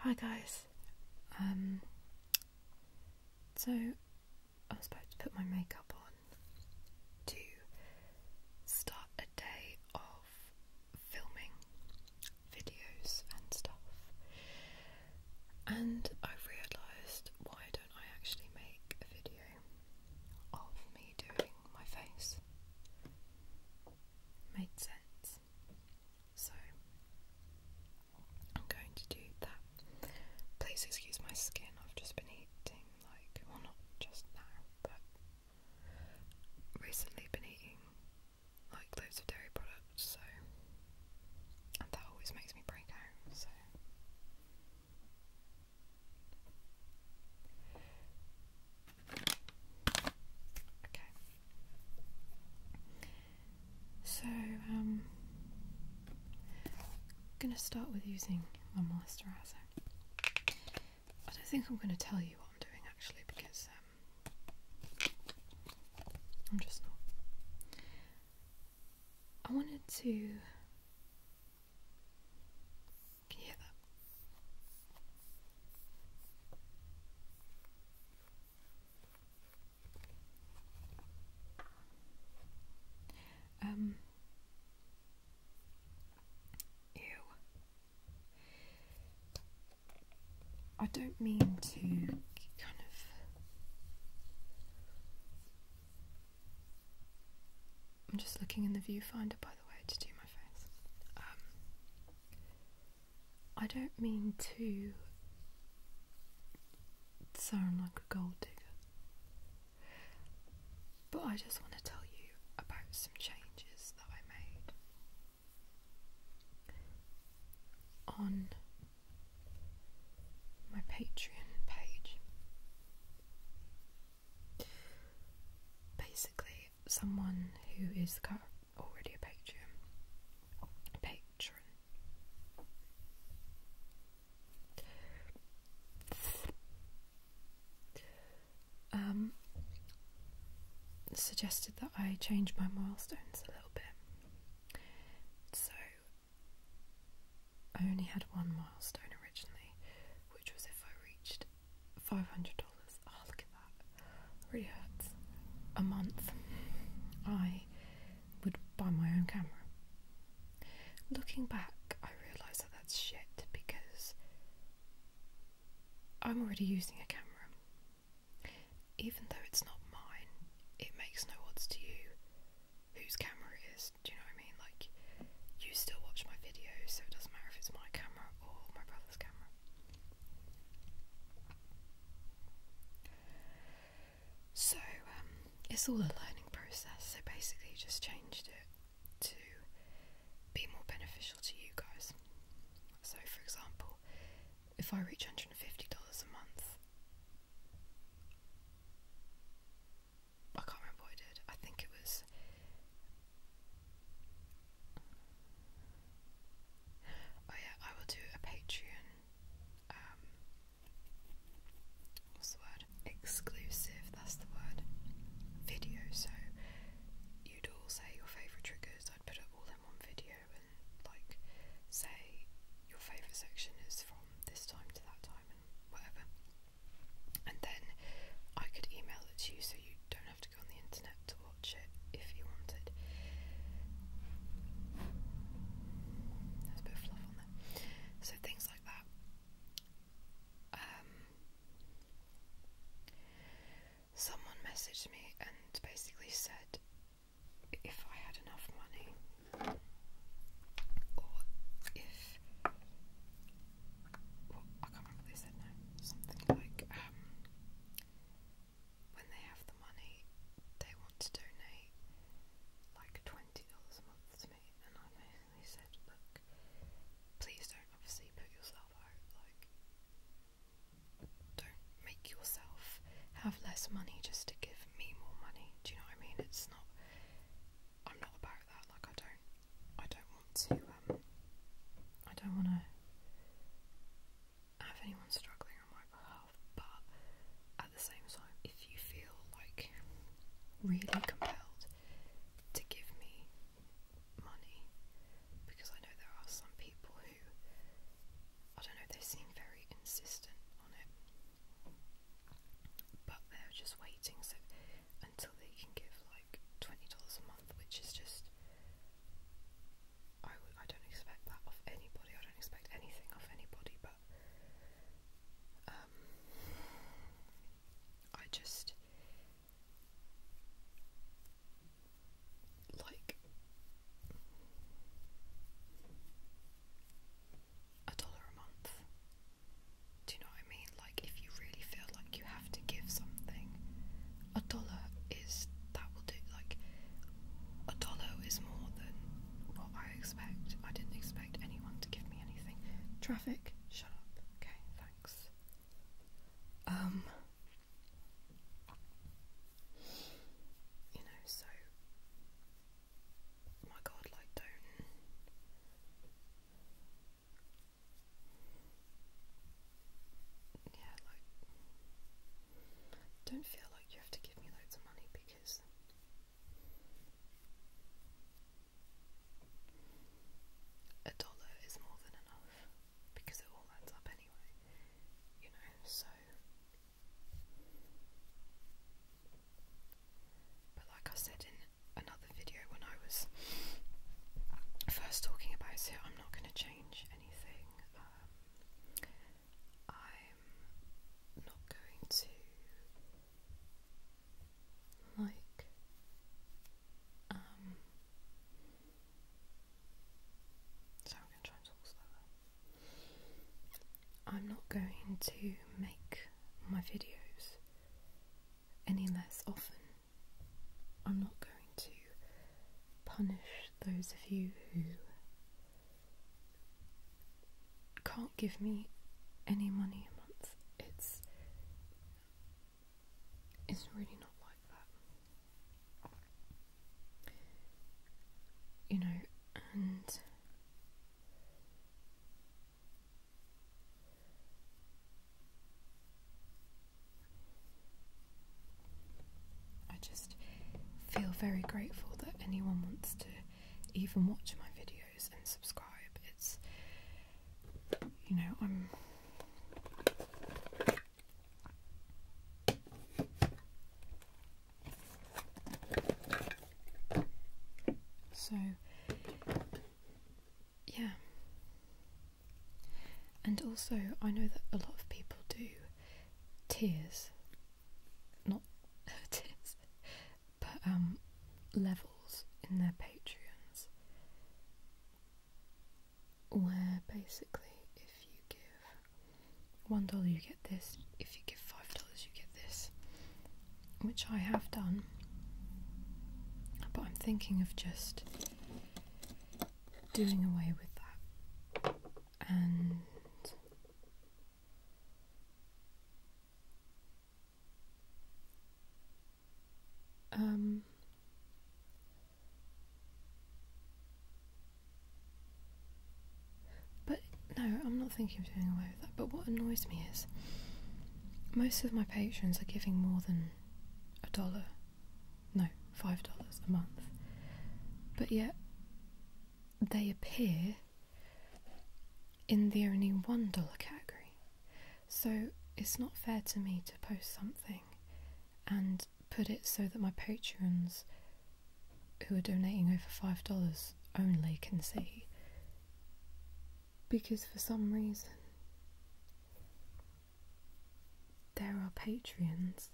Hi guys. Um, so i was about to put my makeup on to start a day of filming videos and stuff, and I realised why don't I actually make a video of me doing my face? Made sense. So I'm going to do that. Please excuse my skin, I've just been eating like, well, not just now, but recently been eating like loads of dairy products, so and that always makes me break out, so Okay. So, um, I'm going to start with using my moisturiser. I don't think I'm going to tell you what I'm doing actually because um, I'm just not. I wanted to. Can you hear that? Um. Ew. I don't mean to kind of I'm just looking in the viewfinder, by the way, to do my face. Um, I don't mean to sound like a gold digger, but I just want to tell you about some changes that I made on my Patreon page. Basically, someone who is already a patron, patron, um, suggested that I change my milestones a little bit. So I only had one milestone originally, which was if I reached $500. Oh, ah, look at that. really hurts. A month, I would buy my own camera. Looking back, I realise that that's shit because I'm already using a camera. Even though it's not mine, it makes no odds to you whose camera it is. Do you know what I mean? Like, you still watch my videos, so it doesn't matter if it's my camera or my brother's camera. So, um, it's all a learning process. So, basically, just changed it to be more beneficial to you guys. So, for example, if I reach $150 a month, I can't remember what I did. I think it was. Oh yeah, I will do a Patreon. Um, what's the word? Exclusive. That's the word. Video. So you'd all say your favourite triggers. I'd put up all in one video and like say your favourite section is from this time to that time and whatever. And then I could email it to you so you don't have to go on the internet to watch it if you wanted. There's a bit fluff on there. So things like that. Um, someone messaged me and basically said if I had enough money, or if well, I can't remember what they said now. Something like um, when they have the money, they want to donate like twenty dollars a month to me, and I basically said, look, please don't obviously put yourself out like. Don't make yourself have less money just to give me more money. Do you know what I mean? It's not. I'm not about that. Like I don't. I don't want to. Um, I don't want to have anyone struggling on my behalf. But at the same time, if you feel like really compelled to give me money, because I know there are some people who I don't know. They seem very insistent on it but they're just waiting so until they can give like twenty dollars a month, which is just I w I don't expect that of anybody. I don't expect anything of anybody, but um, I just like a dollar a month. Do you know what I mean? Like, if you really feel like you have to give something, a dollar is that will do. Like, a dollar is more than what I expect. I didn't expect anyone to give me anything. Traffic, shut up. Okay, thanks. Um, you know, so Oh my god, like, don't. Yeah, like. Don't feel like you have to give me loads of money because. A dollar is more than enough because it all adds up anyway, you know. So but like I said in another video when I was first talking about it, I'm not going to change anything. Um, I'm not going to like um, so I'm gonna try and talk slower. I'm not going to make my videos any less often. I'm not going to punish those of you who can't give me any money a month. It's it's really not like that. You know, and I just feel very grateful that anyone wants to even watch my videos and subscribe. It's, you know, I'm. So, yeah. And also, I know that a lot of people do tears, not tears, but um, levels in their Patreons, where basically if you give one dollar you get this, if you give five dollars, you get this, which I have done, but I'm thinking of just doing away with that and um but no, I'm not thinking of doing away with that. But what annoys me is most of my patrons are giving more than a dollar, no, five dollars a month. But yet they appear in the only one dollar category. So it's not fair to me to post something and put it so that my patrons who are donating over $5 only can see. Because for some reason, there are patrons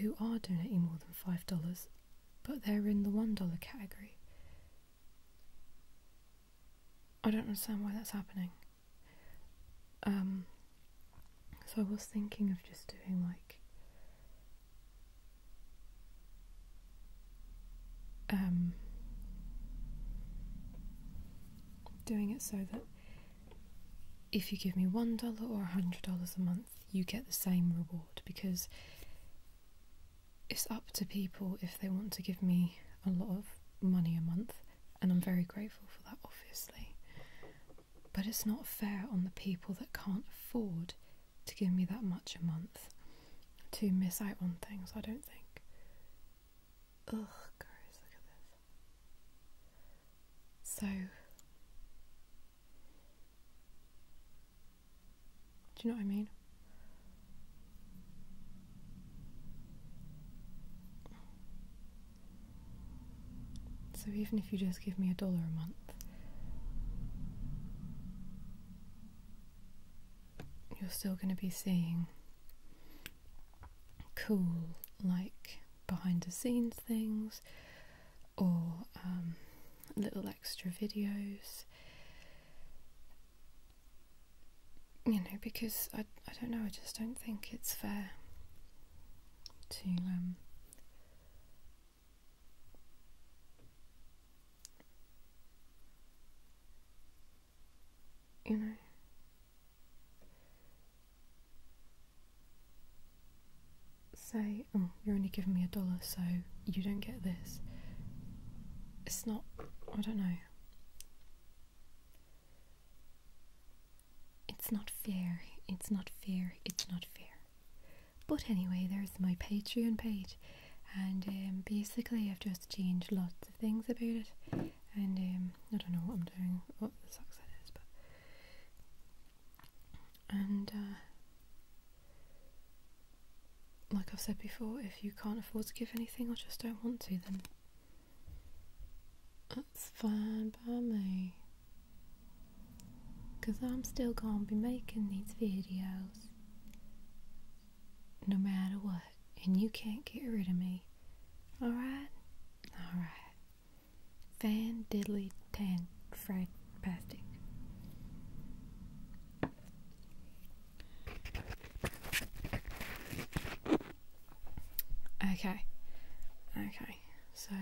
who are donating more than $5, but they're in the $1 category. I don't understand why that's happening. Um, so I was thinking of just doing like um, doing it so that if you give me one dollar or a hundred dollars a month, you get the same reward because it's up to people if they want to give me a lot of money a month, and I'm very grateful for that, obviously. But it's not fair on the people that can't afford to give me that much a month to miss out on things, I don't think. Ugh, guys, look at this. So, do you know what I mean? So even if you just give me a dollar a month, you're still going to be seeing cool, like behind the scenes things or um, little extra videos. You know, because I, I don't know, I just don't think it's fair to um, you know. Say, oh, you're only giving me a dollar, so you don't get this. It's not, I don't know. It's not fair, it's not fair, it's not fair. But anyway, there's my Patreon page, and um, basically I've just changed lots of things about it, and um, I don't know what I'm doing, what the socks that is, but and uh, like I've said before, if you can't afford to give anything or just don't want to, then that's fine by me. Cause I'm still gonna be making these videos no matter what, and you can't get rid of me. Alright? Alright. Fan diddly tan fried pastic. Okay. Okay. So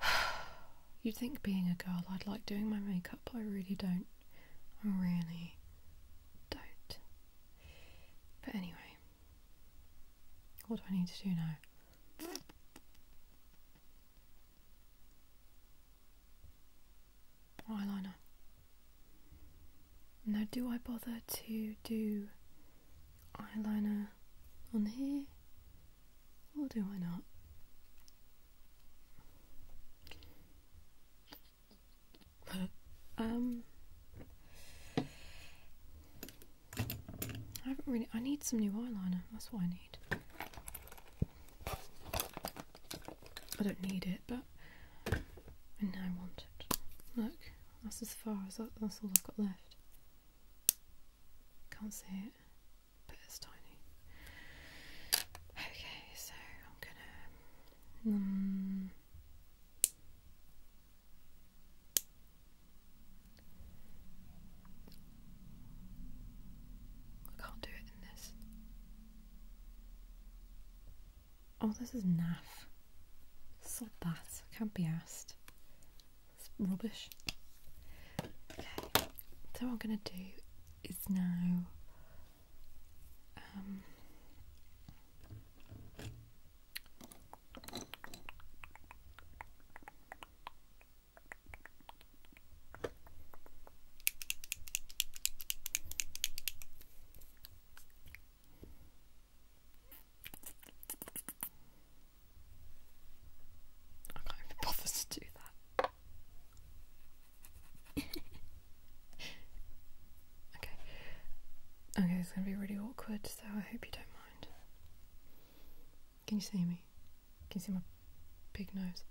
You'd think being a girl I'd like doing my makeup, but I really don't. I really don't. But anyway, what do I need to do now? Eyeliner. Now, do I bother to do eyeliner on here, or do I not? um, I haven't really. I need some new eyeliner. That's what I need. I don't need it, but and I want it. Look, that's as far as that, that's all I've got left. Can't see it, but it's tiny. Okay, so I'm gonna. Mm. I can't do it in this. Oh, this is naff. Sod that. I can't be asked. It's rubbish. Okay, so what I'm going to do is now. Um, I can't even bother to do that. okay. Okay, it's gonna be really awkward, so I hope you don't mind. Can you see me? Can you see my big nose?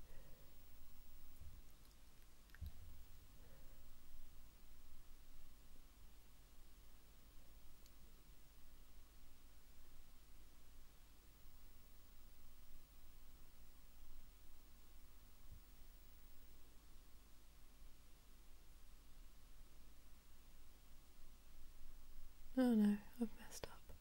Oh no, I've messed up.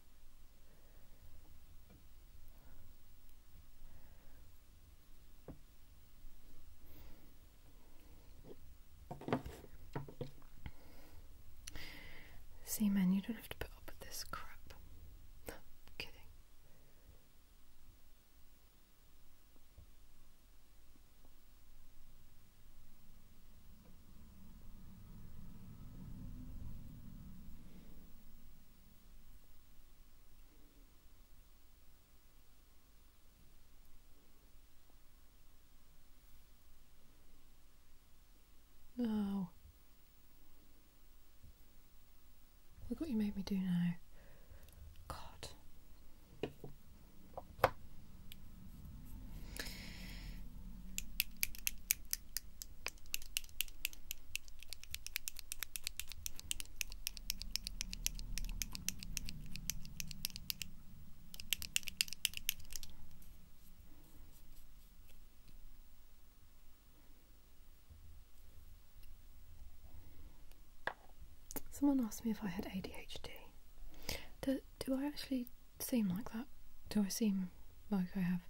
See, man, you don't have to put up with this crap. kidding. No. Look what you made me do now. God. Someone asked me if I had ADHD. Do, I actually seem like that? Do I seem like I have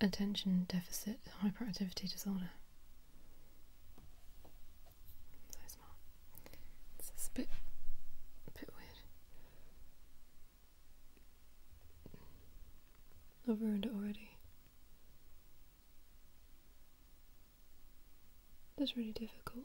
attention deficit hyperactivity disorder? So smart. It's a bit, a bit weird it. I've ruined it already. That's really difficult.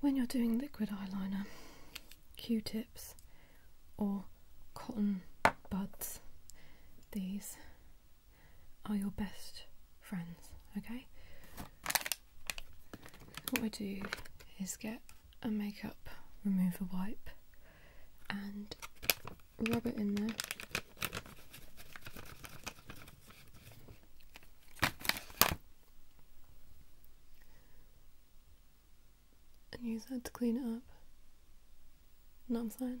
When you're doing liquid eyeliner, Q tips or cotton buds, these are your best friends, okay? What we do is get a makeup remover wipe and rub it in there. And use that to clean it up. You know I'm saying?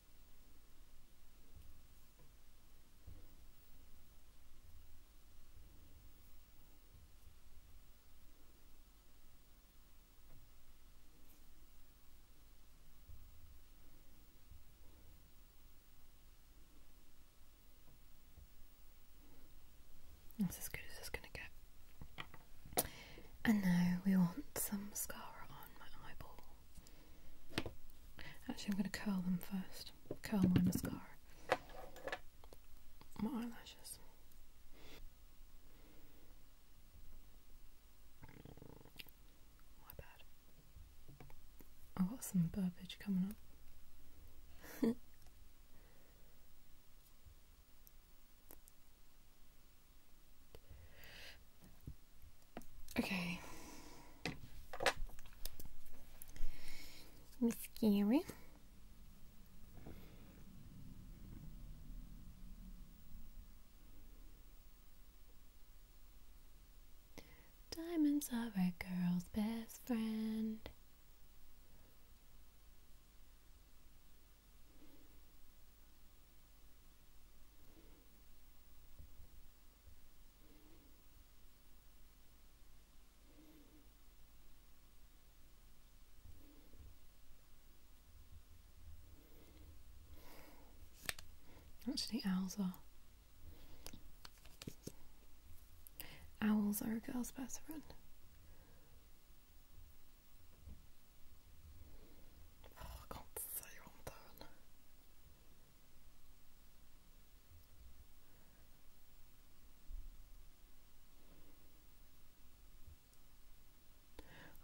That's as good as it's going to get. And now we want some mascara on my eyeball. Actually, I'm going to curl them first. Curl my mascara. My eyelashes. My bad. I've got some burbage coming up. Okay. Miss Gary. Diamonds are a girl's best friend. Actually, owls are. Owls are a girl's best friend. Oh, I I'm doing.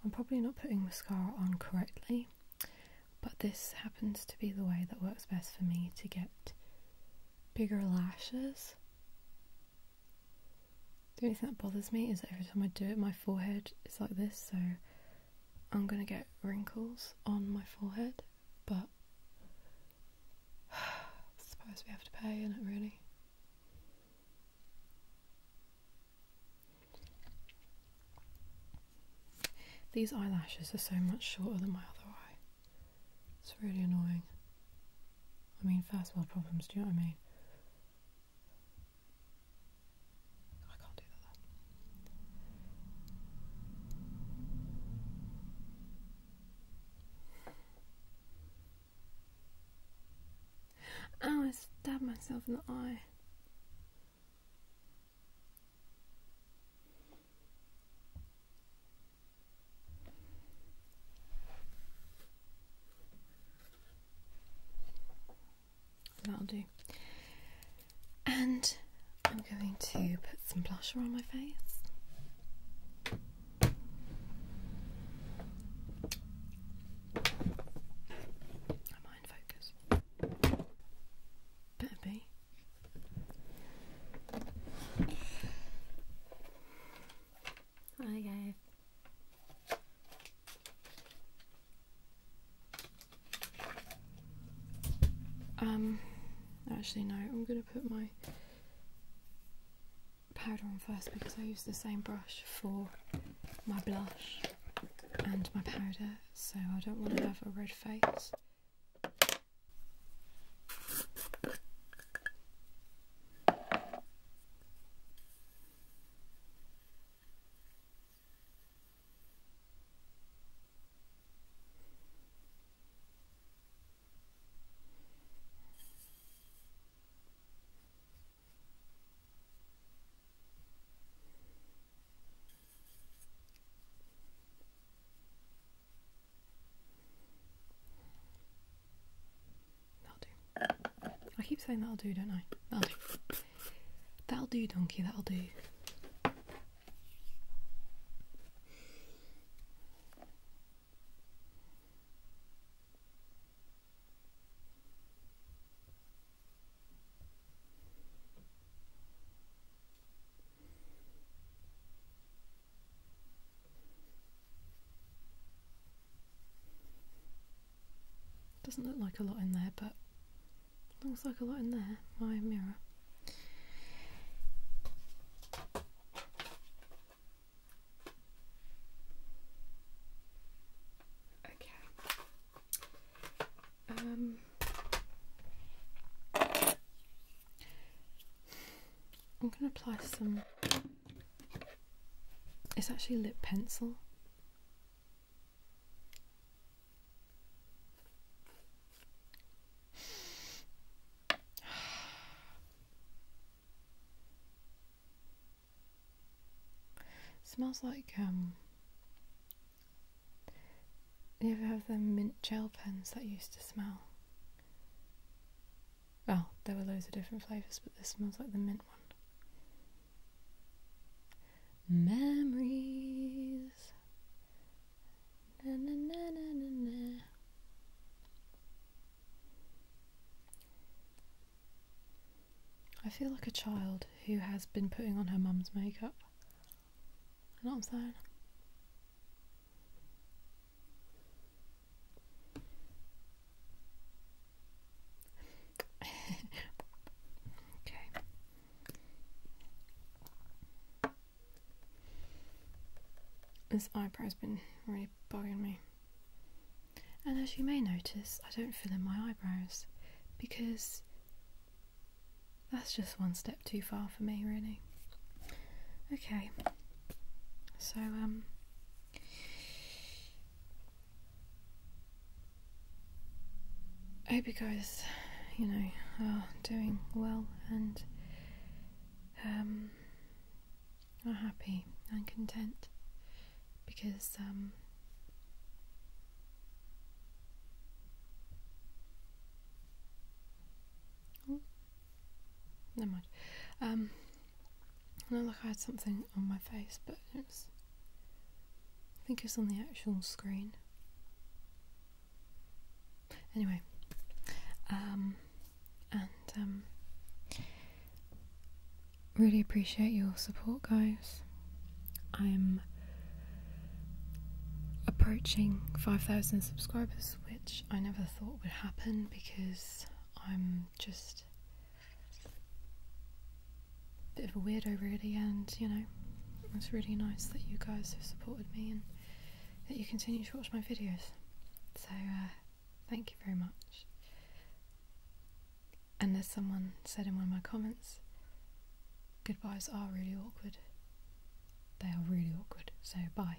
I'm probably not putting mascara on correctly, but this happens to be the way that works best for me to get bigger lashes. The only thing that bothers me is that every time I do it, my forehead is like this, so I'm gonna get wrinkles on my forehead, but suppose we have to pay in it really. These eyelashes are so much shorter than my other eye. It's really annoying. I mean, first world problems, do you know what I mean? I can't do that. Oh, I stabbed myself in the eye. That'll do. And I'm going to put some blusher on my face. Am I in focus? Better be. Okay. Um, actually no, I'm going to put my powder on first because I use the same brush for my blush and my powder, so I don't want to have a red face. That'll do. I keep saying that'll do, don't I? That'll do. That'll do, donkey, that'll do. Doesn't look like a lot in there, but Looks like a lot in there, my mirror. Okay. Um I'm going to apply some. It's actually lip pencil. smells like um you ever have the mint gel pens that used to smell well there were loads of different flavours but this smells like the mint one Memories. I feel like a child who has been putting on her mum's makeup. You know what I'm saying? okay. This eyebrow's been really bugging me. And as you may notice, I don't fill in my eyebrows because that's just one step too far for me, really. Okay, so, um, I hope you guys, you know, are doing well and um, are happy and content because um, oh, never Um, I look, I had something on my face, but it was I think it's on the actual screen. Anyway, um, and um, really appreciate your support, guys. I'm approaching 5,000 subscribers, which I never thought would happen because I'm just bit of a weirdo really and you know it's really nice that you guys have supported me and that you continue to watch my videos so uh, thank you very much and as someone said in one of my comments goodbyes are really awkward they are really awkward so bye